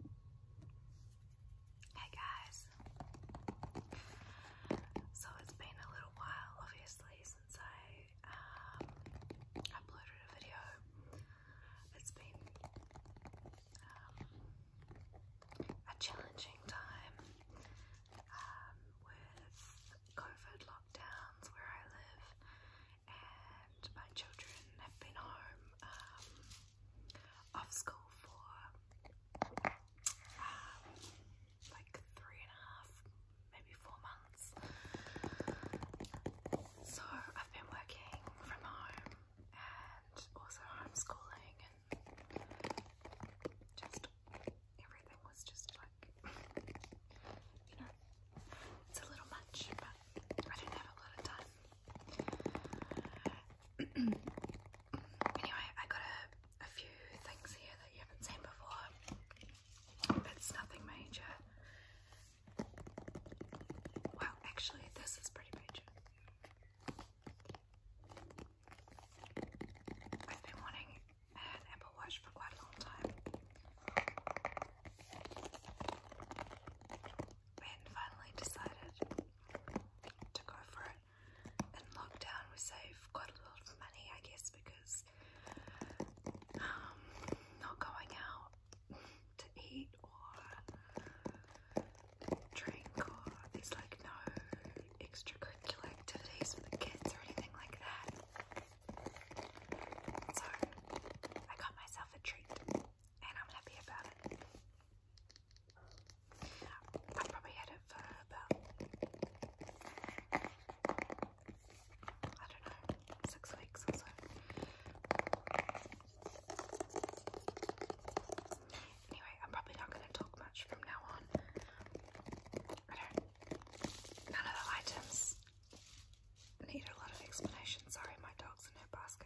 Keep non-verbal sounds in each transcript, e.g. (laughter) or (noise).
Hey guys! So it's been a little while obviously since I um, uploaded a video. It's been um, a challenging time um, with COVID lockdowns where I live and my children have been home off school for um, like three and a half, maybe four months. So I've been working from home and also homeschooling and just everything was just like, you know, it's a little much, but I didn't have a lot of time anyway, I got a, few things here that you haven't seen before. It's nothing major. Well, actually, this is pretty major. I've been wanting an Apple Watch for quite a long time. And finally decided to go for it. And lockdown we saved quite a lot of money, I guess, because um, not going out to eat or drink or there's like no extracurricular activities for the kids or anything like that. So I got myself a treat and I'm happy about it. I probably had it for about, I don't know, six weeks or so. Anyway, I'm probably not going to talk much from now on. I don't, none of the items need a lot of explanation. Sorry, my dog's in her basket.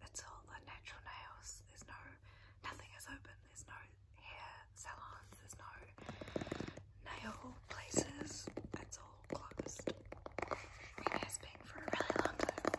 it's all the natural nails. There's no, nothing is open. There's no hair salons. There's no nail places. It's all closed. It has been for a really long time.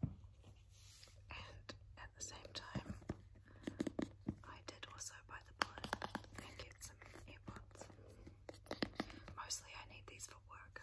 and at the same time, I did also buy the bullet and get some AirPods. Mostly, I need these for work.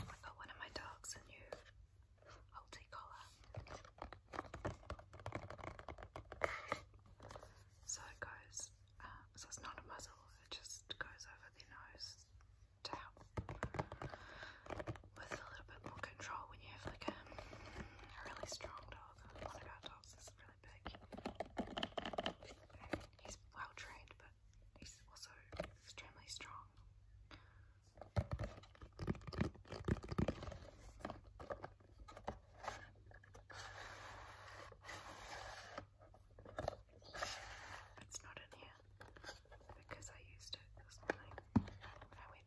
I got one of my dogs a new multi collar. So it goes, uh, so it's not a muzzle, it just goes over their nose to help with a little bit more control when you have like a, really strong dog. One our dogs is really Alan he's well trained, but he's also extremely strong. It's not in here because I used it this morning I went.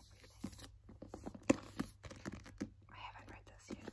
everything. I haven't read this yet.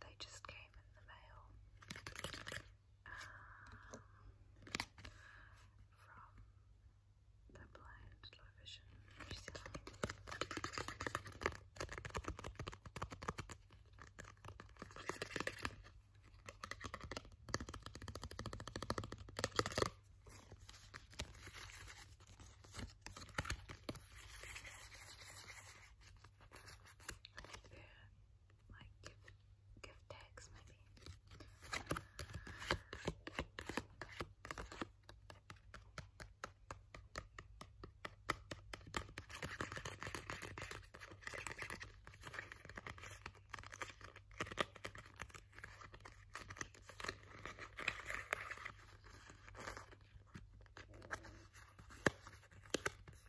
They just came in the mail um, from the Blind Low Vision Museum like gift, gift tags maybe.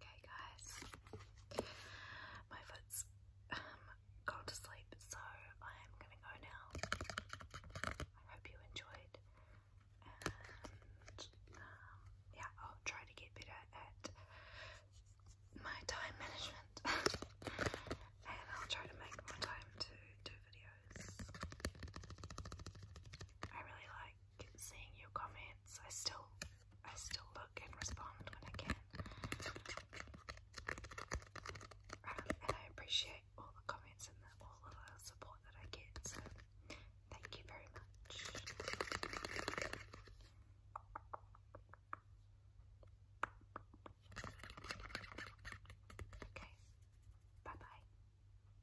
Okay, guys, my foot's um gone to sleep, so I am gonna go now. I hope you enjoyed, and um, yeah, I'll try to get better at my time management, (laughs) and I'll try to make more time to do videos. I really like seeing your comments. I still I still look and respond when I can. Um, and I appreciate all the comments and all the support that I get. So thank you very much. Okay. Bye bye.